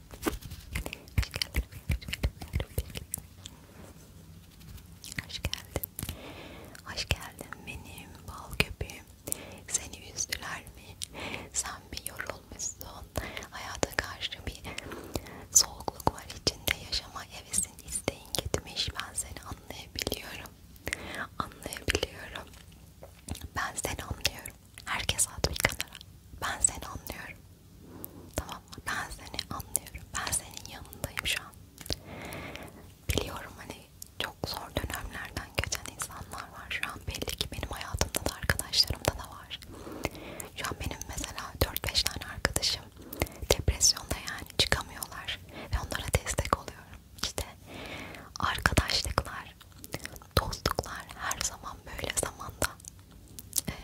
Hoş geldin. Hoş geldin. Hoş geldin benim bal köpeğim. Seni üzdüler mi? Sen bir yorulmuşsun. Hayata karşı bir soğukluk var içinde. Yaşama hevesin, isteğin gitmiş. Ben seni anlayabiliyorum. Anlayabiliyorum. Ben seni anlıyorum. Herkes at bir kenara. Ben seni anlıyorum. Tamam mı? Ben seni anlıyorum. Ben senin yanındayım şu an. Biliyorum hani çok zor dönemlerden geçen insanlar var. Şu an belli ki benim hayatımda da arkadaşlarımda da var. Şu an benim mesela 4-5 tane arkadaşım depresyonda yani çıkamıyorlar ve onlara destek oluyorum. İşte arkadaşlıklar, dostluklar her zaman böyle zamanda e,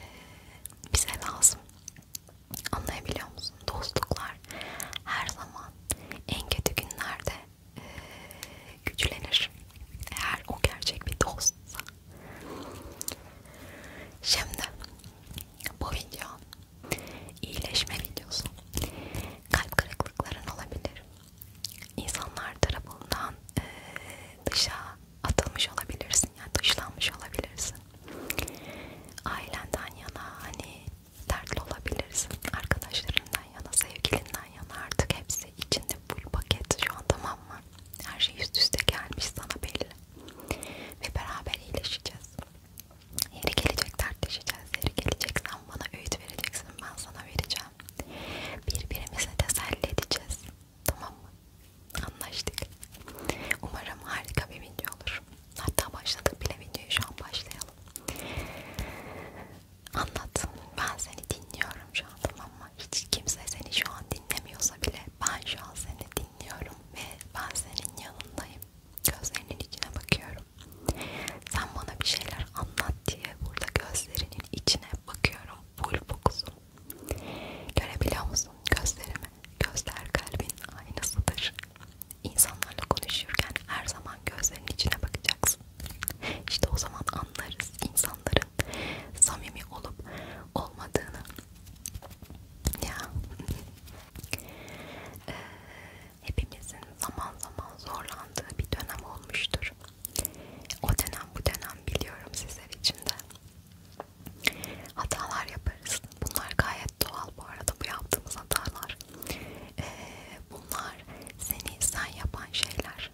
bize lazım. Anlayabiliyor musun? Dostluklar her zaman en kötü günlerde e, güçlenir. Eğer o gerçek bir dostsa. Şimdi bu video iyileşme videosu. Kalp kırıklıkların olabilir insanlar tarafından e, dışa atılmış olabilirsin yani dışlanmış olabilirsin ailenden yana hani dertli olabilirsin arkadaşlarından yana sevgilinden yana artık hepsi içinde full paket şu an tamam mı her şey üst üste gelmiş sana belli ve beraber iyileşeceğiz yeri gelecek dertleşeceğiz yeri gelecek sen bana öğüt vereceksin ben sana vereceğim birbirimize teselli edeceğiz. Tamam mı? Anlaştık. Umarım harika bir video olur. Hatta başladık bile videoyu şu an başlayalım. Anlat. Ben seni dinliyorum şu an tamam mı? Hiç kimse seni şu an dinlemiyorsa bile ben şu an seni dinliyorum ve ben senin yanındayım. Gözlerinin içine bakıyorum. Sen bana bir şeyler anlat diye burada gözlerin gözlerimin içine bakıyorum. Bulbuksun. Görebiliyor musun gözlerimi? Gözler kalbin aynasıdır. İnsanlarla konuşurken her zaman gözlerinin içine bakacaksın. İşte o zaman anlarız insanların samimi olup olmadığını. Ya. Ee, hepimizin zaman zaman zorlandığı bir dönem olmuştur. O dönem bu dönem biliyorum sizler için de. Hatalar yaparız. Bunlar gayet doğal bu arada bu yaptığımız hatalar. Ee, bunlar seni sen yapan şeyler.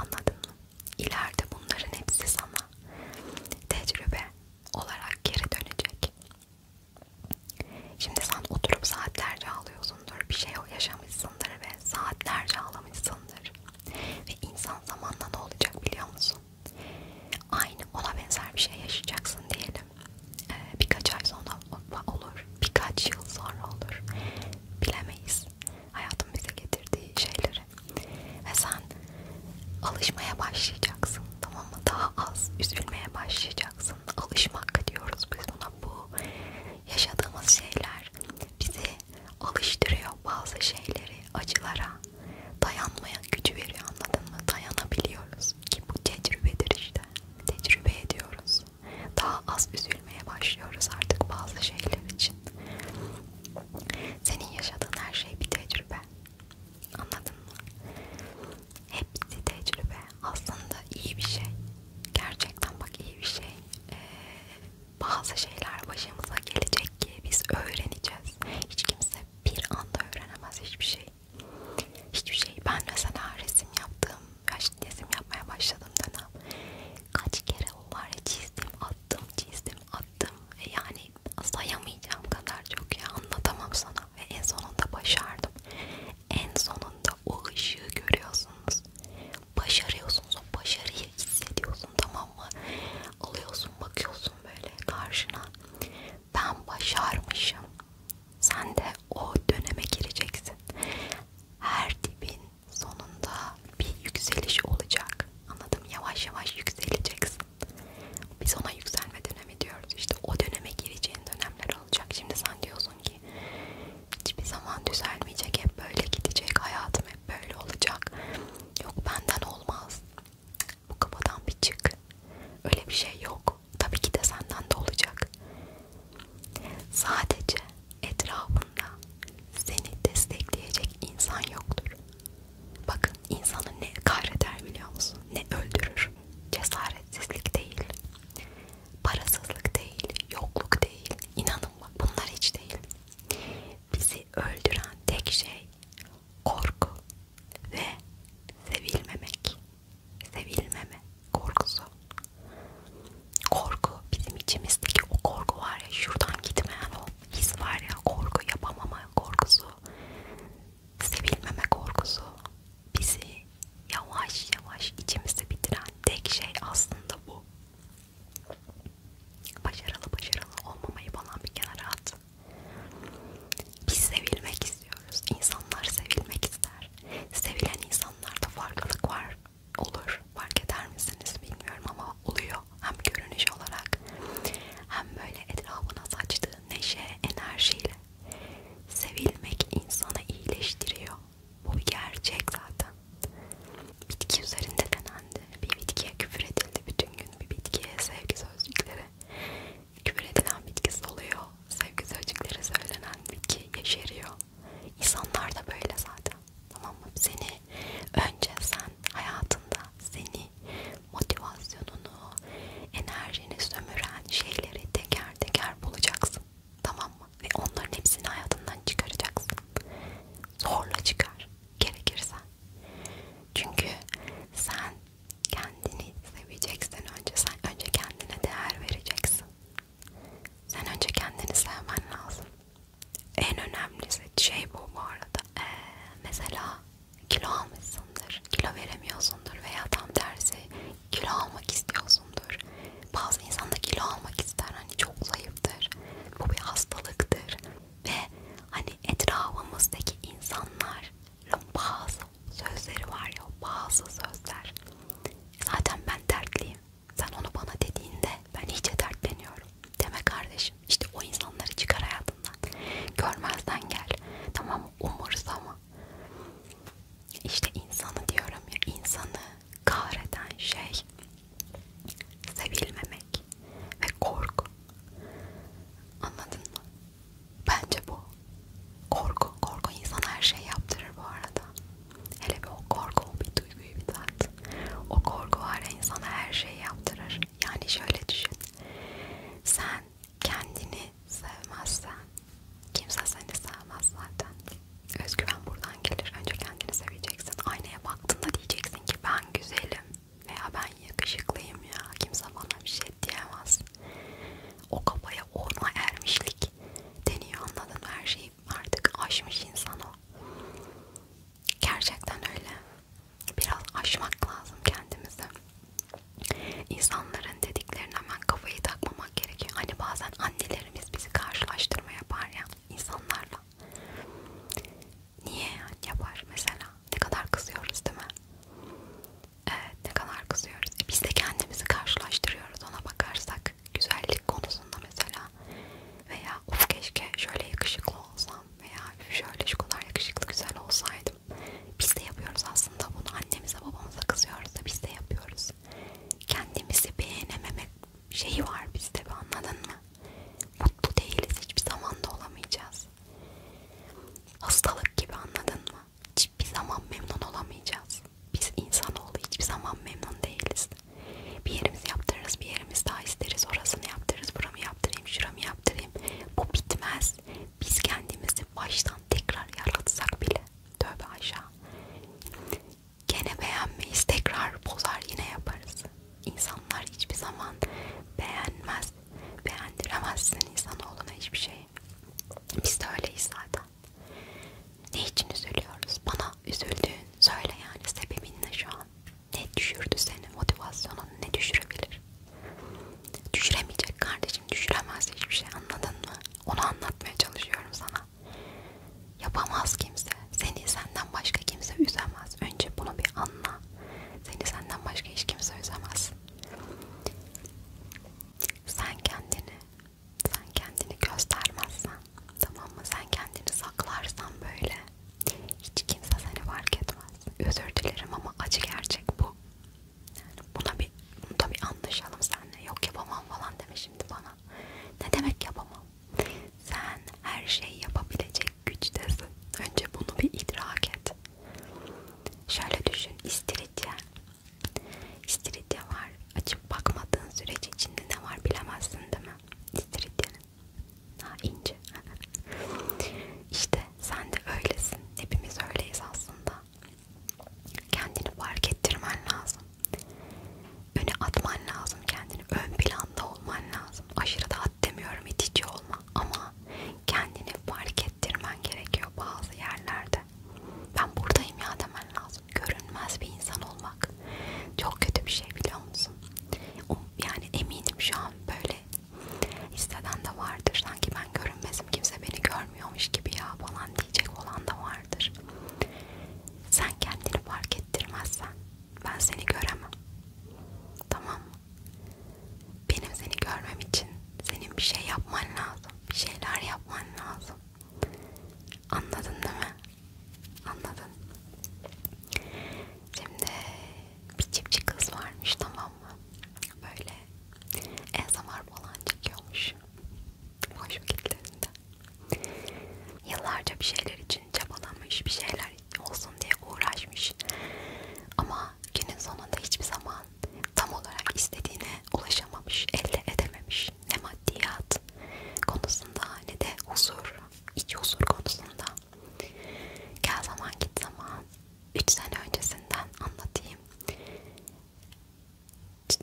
Anladın mı? İleride bunların hepsi sana tecrübe olarak geri dönecek. Şimdi sen oturup saatlerce ağlıyorsun olmuşsundur, bir şey yaşamışsındır ve saatlerce ağlamışsındır. Ve insan zamanla ne olacak biliyor musun? Aynı ona benzer bir şey yaşayacaksın diyelim. Ee, birkaç ay sonra olur, birkaç yıl sonra olur. Bilemeyiz hayatın bize getirdiği şeyleri. Ve sen alışmaya başlayacaksın tamam mı? Daha az üzülmeye başlayacaksın. Alışmak diyoruz biz buna bu yaşadığımız şeyler bizi alıştırıyor bazı şeyleri acılara dayanmaya gücü veriyor anladın mı dayanabiliyoruz ki bu tecrübedir işte tecrübe ediyoruz daha az üzülmeye başlıyoruz artık bazı şeyler için senin yaşadığın her şey bir tecrübe anladın mı hepsi tecrübe aslında iyi bir şey gerçekten bak iyi bir şey bazı şeyler başımıza gelecek ki biz öğreneceğiz. Hiç kimse bir anda öğrenemez hiçbir şey. Hiçbir şey. Ben mesela resim yaptım. Yaşlı resim yapmaya başladım dönem. Kaç kere o var ya çizdim, attım, çizdim, attım. E yani sayamayacağım kadar çok ya anlatamam sana. Ve en sonunda başardım en sonunda o ışığı görüyorsunuz. Başarıyorsunuz, o başarıyı hissediyorsun tamam mı? Alıyorsun, bakıyorsun böyle karşına. Ben başarmışım. Sen de o döneme gireceksin. Her dibin sonunda bir yükseliş olacak. Anladım. Yavaş yavaş yükseleceksin. Biz ona yükselme dönemi diyoruz. İşte o döneme gireceğin dönemler olacak. Şimdi sen diyorsun ki hiçbir zaman düzelmeyecek hep böyle gidecek hayatım hep böyle olacak yok benden olmaz bu kafadan bir çık öyle bir şey yok tabii ki de senden de olacak sadece etrafında seni destekleyecek insan yoktur bakın insanı ne kahreder biliyor musun ne öldürür cesaretsizlik değil Parasızlık değil, yokluk değil, inanın bak bunlar hiç değil. Bizi öldüren tek şey korku ve sevilmemek, sevilmeme korkusu. Korku bizim içimizdeki o korku var ya şuradan gitmeyen o his var ya korku yapamama korkusu, sevilmeme korkusu bizi yavaş yavaş içimizi bitiren tek şey aslında bu. Başarılı başarılı olmamayı falan bir kenara at. Biz sevilmek istiyoruz. İnsanlar sevilmek ister. Sevilen insanlarda farklılık var. Olur. Fark eder misiniz bilmiyorum ama oluyor. Hem görünüş olarak hem böyle etrafına saçtığı neşe, enerjiyle. Sevilmek insanı iyileştiriyor. Bu gerçek zaten. Bitki üzerinde denendi. Bir bitkiye küfür edildi bütün gün. Bir bitkiye sevgi sözcükleri. Küfür edilen bitki oluyor. Sevgi sözcükleri söylenen bitki yeşeriyor. İnsanlar da böyle zaten. Tamam mı? Seni önce sen hayatında seni motivasyonunu, enerjini sömüren şeyleri teker teker bulacaksın. Tamam mı? Ve onların hepsini hayatından çıkaracaksın. Zorla çıkar. Gerekirse. Çünkü sen kendini seveceksen önce sen önce kendine değer vereceksin. Sen önce kendini sevmen lazım. En önemli şey bu bu arada. Ee, mesela kilo almışsındır, kilo veremiyorsundur veya tam tersi kilo almak istiyorsundur. Bazı insan da kilo almak ister. Hani çok zayıftır. Bu bir hastalıktır. Ve hani etrafımızdaki insanların bazı sözleri var ya bazı sözler. Zaten ben dertliyim. Sen onu bana dediğinde ben iyice dertleniyorum. Deme kardeşim. İşte o insanları çıkar hayatından. Görmezden gel. Tamam umursama ama işte insanı diyorum ya insanı kahreden şey sevilmemek ve korku anladın mı? Bence bu korku korku insan her şey yaptırır bu arada hele bir o korku o bir duyguyu bir tat o korku var ya insana her şey yaptırır yani şöyle düşün sen kendini sevmezsen kimse seni sevmez zaten. Özgüven buradan gelir. Önce kendini seveceksin. Aynaya baktığında diyeceksin ki ben güzelim veya ben yakışıklıyım ya. Kimse bana bir şey diyemez. O kafaya ona ermişlik deniyor anladın mı? Her şeyi artık aşmış insan o. Gerçekten öyle. Biraz aşmak lazım kendimizi. İnsanları annenin dediklerine hemen kafayı takmamak gerekiyor. Hani bazen annelerimiz bizi karşılaştırma yapar ya insanlarla. Niye yani yapar mesela? Ne kadar kızıyoruz değil mi? Evet ne kadar kızıyoruz. E biz de kendimizi karşılaştırıyoruz ona bakarsak. Güzellik konusunda mesela. Veya of keşke şöyle yakışıklı olsam. Veya şöyle şu kadar yakışıklı güzel olsaydım. Biz de yapıyoruz aslında bunu. Annemize babamıza kızıyoruz da biz de yapıyoruz. Kendimizi beğenememe şeyi var bizde anladın mı? Mutlu değiliz hiçbir zaman da olamayacağız. Hastalık gibi anladın mı? Hiçbir zaman memnun olamayacağız. Biz insanoğlu hiçbir zaman memnun değiliz. Bir yerimiz yaptırırız, bir yerimiz daha isteriz. Orasını yaptırırız, buramı yaptırayım, şuramı yaptırayım. Bu bitmez. Biz kendimizi baştan tekrar yaratsak bile Tövbe aşağı. Gene beğenmeyiz. Tekrar bozar yine yaparız. İnsanlar hiçbir zaman beğenmez. Beğendiremezsin insanoğluna hiçbir şeyi. Biz de öyleyiz zaten. Ne için üzülüyoruz? Bana üzüldüğün söyle yani sebebin ne şu an? Ne düşürdü seni? Motivasyonun ne düşürebilir? Düşüremeyecek kardeşim enerjim düşüremez hiçbir şey anladın mı? Onu anlatmaya çalışıyorum sana. Yapamaz kimse. Seni senden başka kimse üzemez. Önce bunu bir anla. Seni senden başka hiç kimse üzemez. Sen kendini, sen kendini göstermezsen, tamam mı? Sen kendini saklarsan böyle hiç kimse seni fark etmez. Özür dilerim ama acı gerçek bu. Buna bir, bunda bir anlaşalım senle. Yok yapamam falan deme şimdi bana. Ne demek yapamam? Sen her şeyi yapabilecek güçtesin. Önce bunu bir idrak et. Şöyle düşün. İstiridye. İstiridye var. Açıp bakmadığın sürece içinde ne var bilemezsin değil mi? İstiridyenin. Ha ince. işte sen de öylesin. Hepimiz öyleyiz aslında kendini fark ettirmen lazım. Öne atman lazım kendini. Ön planda olman lazım. Aşırı da at demiyorum itici olma ama kendini fark ettirmen gerekiyor bazı yerlerde. Ben buradayım ya demen lazım. Görünmez bir insan olmak çok kötü bir şey biliyor musun? Um, yani eminim şu an böyle hisseden de vardır. Sanki ben görünmez lazım kimse beni görmüyormuş gibi ya falan diyecek olan da vardır. Sen kendini fark ettirmezsen ben seni göremem. Tamam mı? Benim seni görmem için senin bir şey yapman lazım. Bir şeyler yapman lazım. Anladın değil mi? Anladın. Şimdi bir çiftçi kız varmış tamam ama böyle ASMR falan çekiyormuş hoş vakitlerinde. Yıllarca bir şeyler için çabalamış, bir şeyler olsun diye uğraşmış ama günün sonunda hiçbir zaman tam olarak istediğine ulaşamamış, elde edememiş. Ne maddiyat konusunda ne de huzur, iç huzur konusunda. Gel zaman git zaman. 3 sene öncesinden anlatayım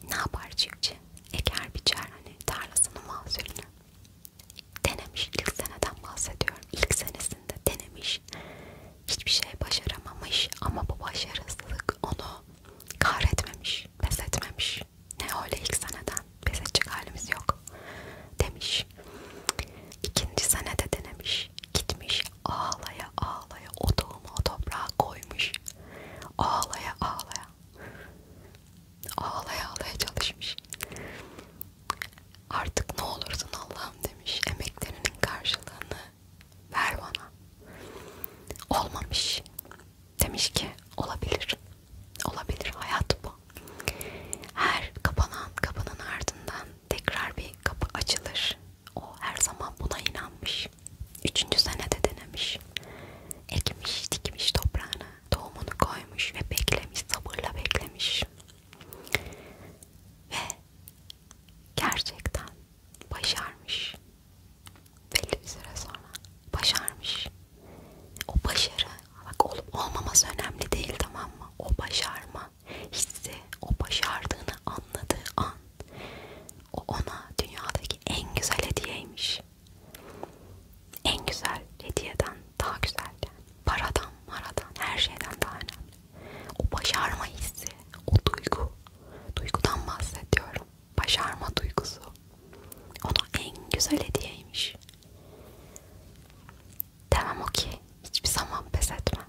ne yapar çiftçi? Eker biçer hani tarlasının mahsulünü. Denemiş ilk seneden bahsediyorum. İlk senesinde denemiş. Hiçbir şey başaramamış ama bu başarısızlık onu kahretmemiş, pes etmemiş. Ne öyle ilk seneden pes edecek halimiz yok demiş. İkinci senede denemiş, gitmiş ağlaya ağlaya o tohumu o toprağa koymuş. Ağlaya ağlaya. Ağlaya ağlaya çalışmış. Artık ne olursun Allah'ım demiş. Emeklerinin karşılığını ver bana. Olmamış. Demiş ki olabilir. Olabilir hayat bu. Her kapanan kapının ardından tekrar bir kapı açılır. O her zaman buna inanmış. Üçüncü senede denemiş. Ekmiş, dikmiş toprağına, tohumunu koymuş ve beklemiş, sabırla beklemiş. Ve gerçekten başarmış. Belli bir süre sonra başarmış. O başarı, bak olup olmaması önemli değil tamam mı? O başarma hissi o başardığını anladığı an o ona dünyadaki en güzel hediyeymiş. En güzel hediyeden daha güzel yani. Paradan, maradan, her şeyden daha önemli. O başarma hissi, o duygu. Duygudan bahsediyorum. Başarma duygusu. Ona en güzel hediyeymiş. Demem o ki hiçbir zaman pes etmem.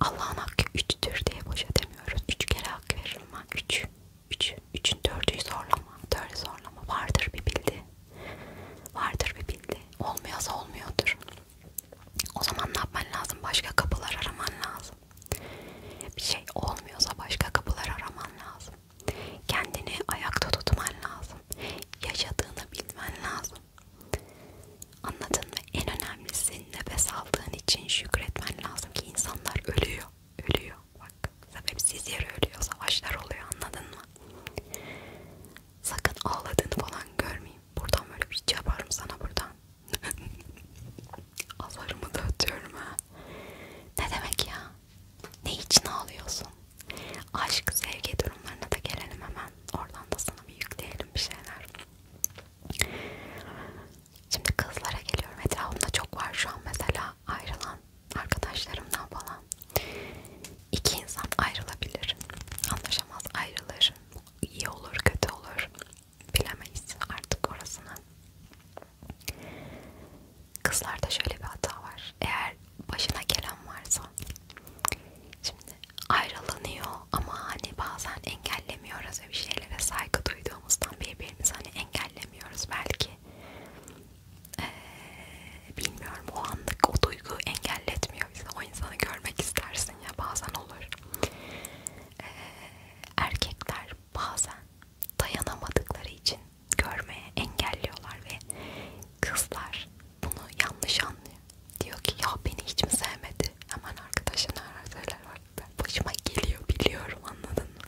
Allah'ın hakkı üçtür diye boşa demiyoruz. Üç kere hak veririm ben. Üç. Üç. Üçün dördüyü zorlama. Dördü zorlama. Vardır bir bildi. Vardır bir bildi. Olmuyorsa olmuyordur. O zaman ne yapman lazım? Başka kapılar araman lazım. Bir şey olmuyorsa başka kapılar araman lazım. Kendini ayakta tutman lazım. Yaşadığını bilmen lazım. Anladın mı? En önemlisi nefes aldığın için şükretmen lazım ki insanlar ölüyor. Ölüyor. Bak sebepsiz yere ölüyor. Savaşlar oluyor anladın mı? Sakın ağladığını falan görmeyeyim. Buradan böyle bir şey yaparım sana buradan. Azarımı da ötüyorum ha. Ne demek ya? Ne için ağlıyorsun? Aşk, sevgi durumlarına da gelelim hemen. Oradan da sana bir yükleyelim bir şeyler. Şimdi kızlara geliyorum. Etrafımda çok var şu an mesela ayrılan arkadaşlarımdan falan. İki insan ayrılabilir. Anlaşamaz ayrılır. İyi olur kötü olur. Bilemeyiz artık orasını. Kızlarda şöyle bir hata var. Eğer başına gelen varsa. Şimdi ayrılanıyor ama hani bazen engellemiyoruz ve bir şeylere saygı duyduğumuzdan birbirimizi hani engellemiyoruz belki ee, bilmiyorum o anlık o duygu engelletmiyor bizi o insanı görmek istersin ya bazen olur ee, erkekler bazen dayanamadıkları için görmeye engelliyorlar ve kızlar bunu yanlış anlıyor diyor ki ya beni hiç mi sevmedi? Hemen arkadaşına arar var. Ben başıma geliyor biliyorum anladın mı?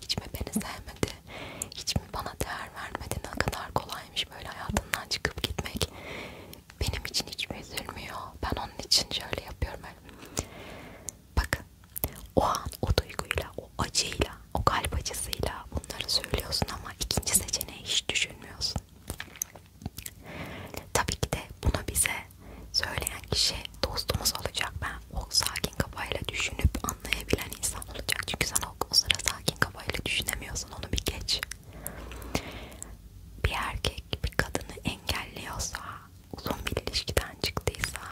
Hiç mi beni sevmedi? Hiç mi bana değer vermedi? Ne kadar kolaymış böyle hayatından çıkıp gitmek. Benim için hiç mi üzülmüyor? Ben onun için şöyle yapıyorum. Öyle. Bakın o an o duyguyla, o acıyla, o kalp acısıyla bunları söylüyorsun ama ikinci seçeneği hiç düşünmüyorsun. Tabii ki de bunu bize söyleyen kişi dostumuz olacak. Ben o sakin kafayla düşünüp anlayabilen insan olacak. Çünkü sen o, o sıra sakin kafayla düşünemiyorsun. Onu bir geç. Bir erkek bir kadını engelliyorsa, uzun bir ilişkiden çıktıysa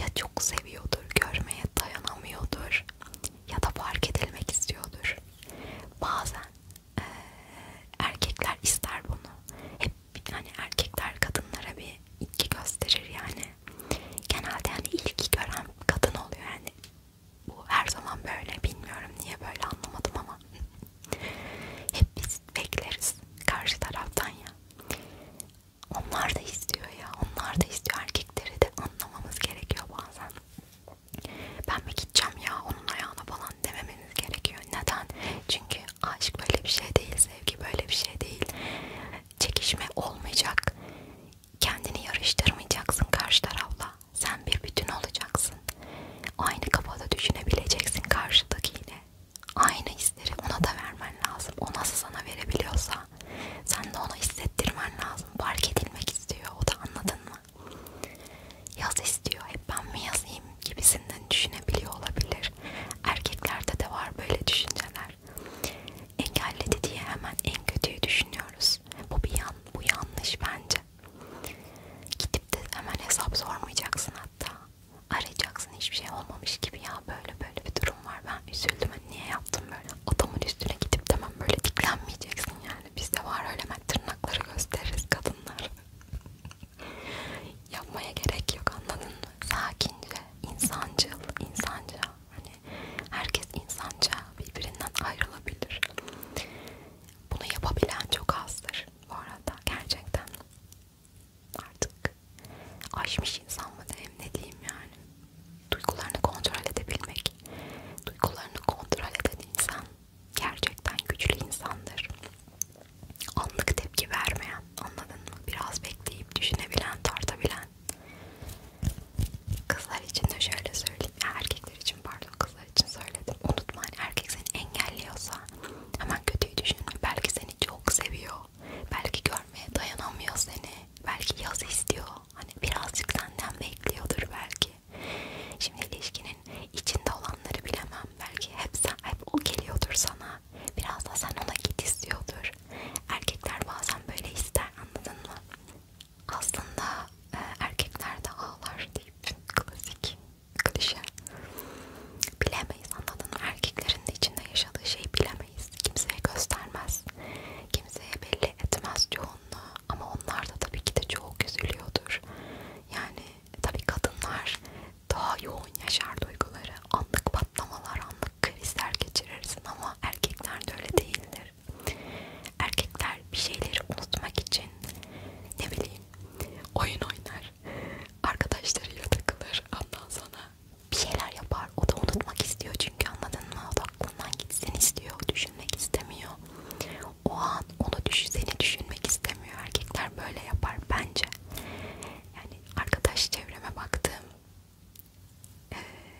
ya çok seviyordur, görmeye dayanamıyordur ya da fark edilmek istiyordur. Bazen e, erkekler ister bunu. Hep hani erkekler kadınlara bir ilgi gösterir yani. Genelde yani ilgi gören kadın oluyor yani. Bu her zaman böyle bilmiyorum niye böyle anlamadım ama hep biz bekleriz karşı taraftan ya. Onlar da istiyor ya. Onlar da istiyor. Erkekleri de anlamamız gerekiyor bazen ben mi gideceğim ya onun ayağına falan dememeniz gerekiyor. Neden? Çünkü aşk böyle bir şey değil, sevgi böyle bir şey değil. Çekişme olmayacak. Kendini yarıştırmayacaksın karşı tarafla. Sen bir bütün olacaksın. Aynı kafada düşünebileceksin karşıdakiyle. Aynı hisleri ona da vermen lazım. O nasıl sana verebiliyorsa sen de ona hissettirmen lazım. Fark edilmek istiyor. O da anladın mı? Yaz istiyor hep ben mi yazayım gibisinden düşünebiliyor olabilir. Erkeklerde de var böyle düşünceler. Engelledi diye hemen en kötüyü düşünüyoruz. Bu bir yan, bu yanlış bence. Gidip de hemen hesap sormayacaksın hatta. Arayacaksın hiçbir şey olmamış gibi ya böyle böyle bir durum var ben üzüldüm hani niye yaptım böyle adamın üstüne gidip tamam böyle diklenmeyeceksin yani yani bizde var öyle hemen tırnakları gösteririz kadınlar. Yapmaya gerek yok anladın mı? Sakince, insancıl, insanca. Hani herkes insanca birbirinden ayrılabilir. Bunu yapabilen çok azdır bu arada gerçekten. Artık aşmış insan mı diyeyim ne diyeyim yani duygularını kontrol edebilmek. Duygularını kontrol eden insan gerçekten güçlü insandır. Anlık tepki vermeyen, anladın mı? Biraz bekleyip düşünebilen, tartabilen. Kızlar için de şöyle söyleyeyim, ya erkekler için pardon kızlar için söyledim. Unutma hani erkek seni engelliyorsa hemen kötüyü düşünme. Belki seni çok seviyor, belki görmeye dayanamıyor seni, belki yaz istiyor. Hani birazcık senden bekliyordur belki. Şimdi ilişkinin içinde olanları bilemem. Belki hep, sen, hep o geliyordur sana. Biraz da sen ona git istiyordur. Erkekler bazen böyle ister anladın mı? Aslında e, erkekler de ağlar deyip klasik, klişe. Bilemeyiz anladın mı? Erkeklerin de içinde yaşadığı şeyi bilemeyiz. Kimseye göstermez. Kimseye belli etmez yoğunluğu. Ama onlar da tabii ki de çok üzülüyordur. Yani tabii kadınlar daha yoğun yaşar duyguları. Anlık patlamalar, anlık krizler geçirirsin ama erkekler de öyle değildir. Erkekler bir şeyleri unutmak için ne bileyim oyun oynar, arkadaşlarıyla takılır, ondan sonra bir şeyler yapar. O da unutmak istiyor çünkü anladın mı? O da aklından gitsin istiyor, düşünmek istemiyor. O an onu düş seni düşünmek istemiyor. Erkekler böyle yapar bence. Yani arkadaş çevreme baktığım e,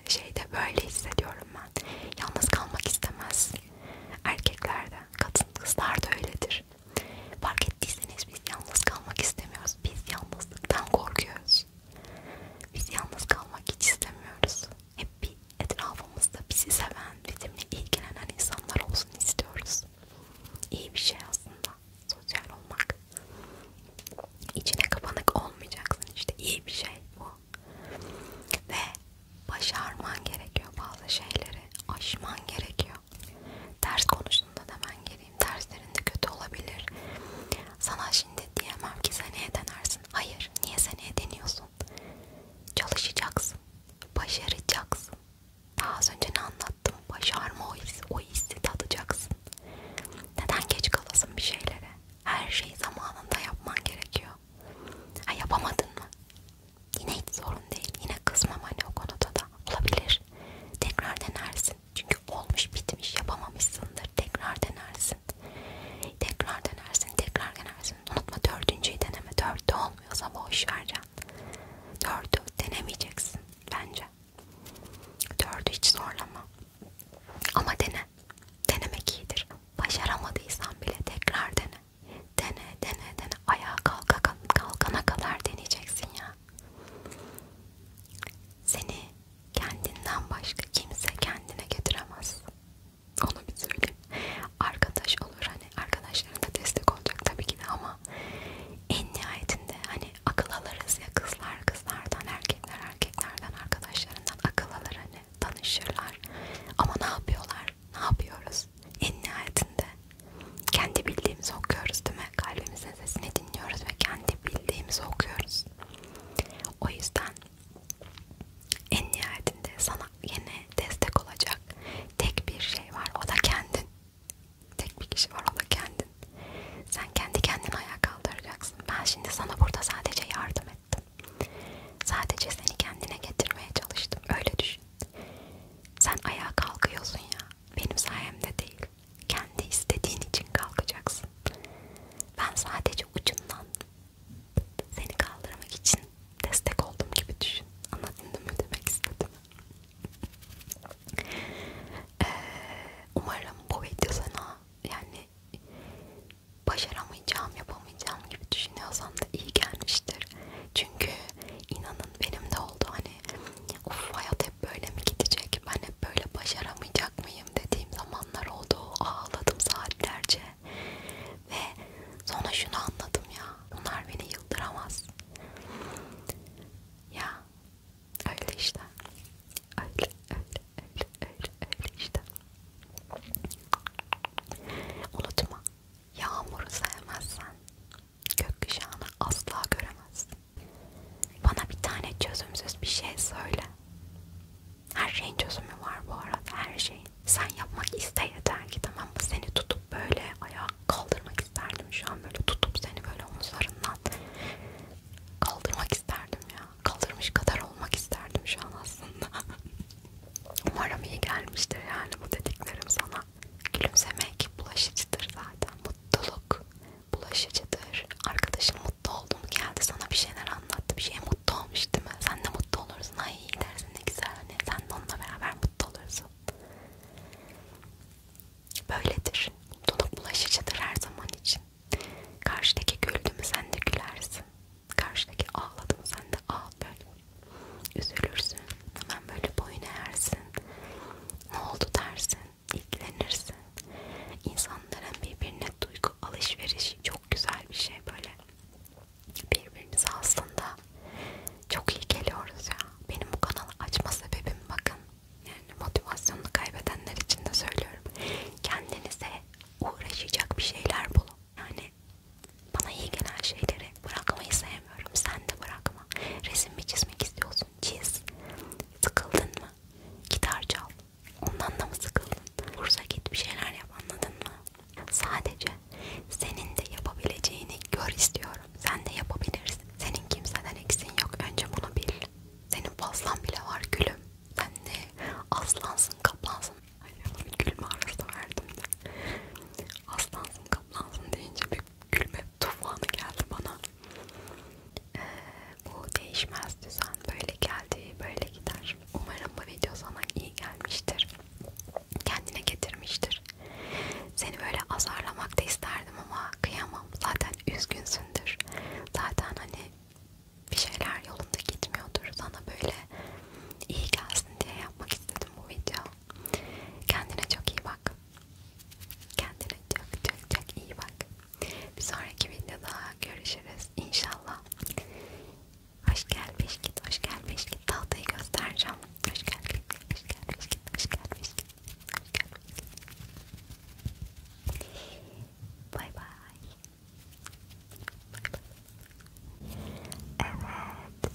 şeyde böyle hissediyorum ben. Yalnız kalmak istemez erkeklerde, kadın kızlar da öyledir. Fark ettiyseniz biz yalnız kalmak istemiyoruz. Biz yalnızlıktan korkuyoruz. Biz yalnız kalmak hiç istemiyoruz hep bir etrafımızda bizi seven, bizimle ilgilenen insanlar olsun istiyoruz. İyi bir şey aslında sosyal olmak. İçine kapanık olmayacaksın işte iyi bir şey bu. Ve başarman gerekiyor bazı şeyleri, aşman gerekiyor. Ders konusunda da ben geleyim, derslerinde kötü olabilir. Sana şimdi diyemem ki seneye denersin Hayır, niye seneye deniyorsun? Çalışacaksın, başaracaksın. Daha az önce ne anlattım? Başarma o hissi, o hissi tadacaksın. Neden geç kalasın bir şeylere? Her şeyi zamanında yapman gerekiyor. Ha yapamadın mı? Yine hiç sorun değil. Yine kızmam hani o konuda da. Olabilir. Tekrar denersin. Çünkü olmuş bitmiş yapamamışsındır. Tekrar denersin. Tekrar denersin, tekrar denersin. Unutma dördüncüyü deneme. Dörtte olmuyorsa boş vereceksin. Dördü denemeyeceksin bence. Dördü hiç zorlama. Ama dene. Denemek iyidir. Başaramadıysan bile tekrar dene. Dene, dene, dene. Ayağa kalka, kalkana kadar deneyeceksin ya. Seni Kendinden başka kimse kendine getiremez. Onu bir söyleyeyim. Arkadaş olur hani arkadaşlarına destek olacak tabii ki de ama en nihayetinde hani akıl alırız ya kızlar kızlardan, erkekler erkeklerden, arkadaşlarından akıl alır hani tanışırlar. Ama ne yapıyorlar? Ne yapıyoruz? En nihayetinde kendi bildiğimizi okuyoruz değil mi? Kalbimizin sesini dinliyoruz ve kendi bildiğimizi okuyoruz. O yüzden en nihayetinde sana yine destek olacak tek bir şey var, o da kendin. Tek bir kişi var, o da kendin. Sen kendi kendini ayağa kaldıracaksın. Ben şimdi sana burada sadece yardım ettim. Sadece seni kendine getirmeye çalıştım. Öyle düşün. Sen ayağa kalkıyorsun ya. Benim sayemde değil. Kendi istediğin için kalkacaksın olsun. Ben sadece ucundan seni kaldırmak için destek oldum gibi düşün. Anladın mı demek istedim? Ee, umarım bu video sana yani başaramayacağım, yapamayacağım gibi düşünüyorsan da iyi gelmiştir. Çünkü inanın benim de oldu hani of hayat hep böyle mi gidecek, ben hep böyle başaramayacak mı hastayım dediğim zamanlar oldu. Ağladım saatlerce. Ve sonra şunu anladım ya. Bunlar beni yıldıramaz. Ya öyle işte. Öyle öyle öyle öyle, öyle işte. Unutma. Yağmuru sevmezsen gökkuşağını asla göremezsin. Bana bir tane çözümsüz bir şey söyle. Her şeyin çözümü var bu arada her şeyin. Sen yapmak iste yeter ki tamam mı? Seni tutup böyle ayağa kaldırmak isterdim şu an böyle tutup seni böyle omuzlarından kaldırmak isterdim ya. Kaldırmış kadar olmak isterdim şu an aslında. Umarım iyi gelmiştir yani bu dediklerim sana. Gülümsemek bulaşıcıdır zaten. Mutluluk bulaşıcıdır. Arkadaşım mutlu oldu mu geldi sana bir şeyler anlattı. Bir şeye mutlu olmuş değil mi? Sen de mutlu olursun. Ay iyi dersin ne güzel. Hani sen de onunla beraber mutlu olursun. Böyledir. Mutluluk bulaşıcıdır her zaman için. Karşıdaki güldü mü sen de gülersin. Karşıdaki ağladı mı sen de ağla böyle. Üzülürsün. Hemen böyle boyun eğersin. Ne oldu dersin ilgilenirsin. İnsanların birbirine duygu alışverişi çok güzel bir şey böyle. Birbirimize aslında çok iyi geliyoruz ya. Benim bu kanalı açma sebebim bakın. Yani motivasyonunu kaybedenler için de söylüyorum. Kendinize uğraşacak bir şeyler bulun. Yani bana iyi gelen şeyleri bırakmayı sevmiyorum. Sen de bırakma. Resim mi çizmek istiyorsun? Çiz. Sıkıldın mı? Gitar çal. Ondan da mı sıkıldın? Kursa git bir şeyler yap anladın mı? Sadece senin de yapabileceğini gör istiyorum. Sen de yapabilirsin. Senin kimseden eksin yok. Önce bunu bil. Senin fazlan bile var gülüm. Sen de aslansın kaplansın. Ay bir gülme arası verdim de. Aslansın kaplansın deyince bir gülme tufanı geldi bana. Ee, bu değişmez düzen böyle geldi böyle gider. Umarım bu video sana iyi gelmiştir. Kendine getirmiştir. Seni böyle azarlamak da isterdim ama kıyamam. Zaten üzgünsündür. Zaten hani bir şeyler yolunda gitmiyordur. Sana böyle iyi gelsin diye yapmak istedim bu video. Kendine çok iyi bak. Kendine çok çok çok iyi bak. Bir sonraki videoda görüşürüz inşallah. Hoş gel beş git, hoş gel beş git. Tahtayı göstereceğim. Hoş gel git, hoş gel beş git, hoş gel beş git. Hoş gel beş git. Bye bye. Bye bye. Evet.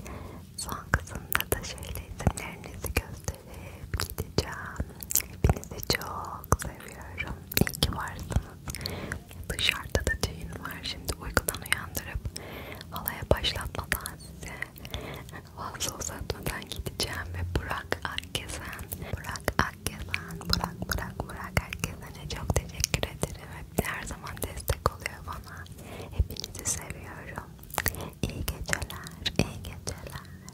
Son kısımda da şöyle isimlerinizi göstereceğim gösterip gideceğim. Hepinizi çok seviyorum. İyi ki varsınız. Dışarıda da düğün var. Şimdi uykudan uyandırıp halaya başlatmadan size fazla uzatmadan gideceğim ve Burak Akgezen, Burak Akgezen, Burak Burak Burak Akgezen'e çok teşekkür ederim. Hep her zaman destek oluyor bana. Hepinizi seviyorum. İyi geceler, iyi geceler.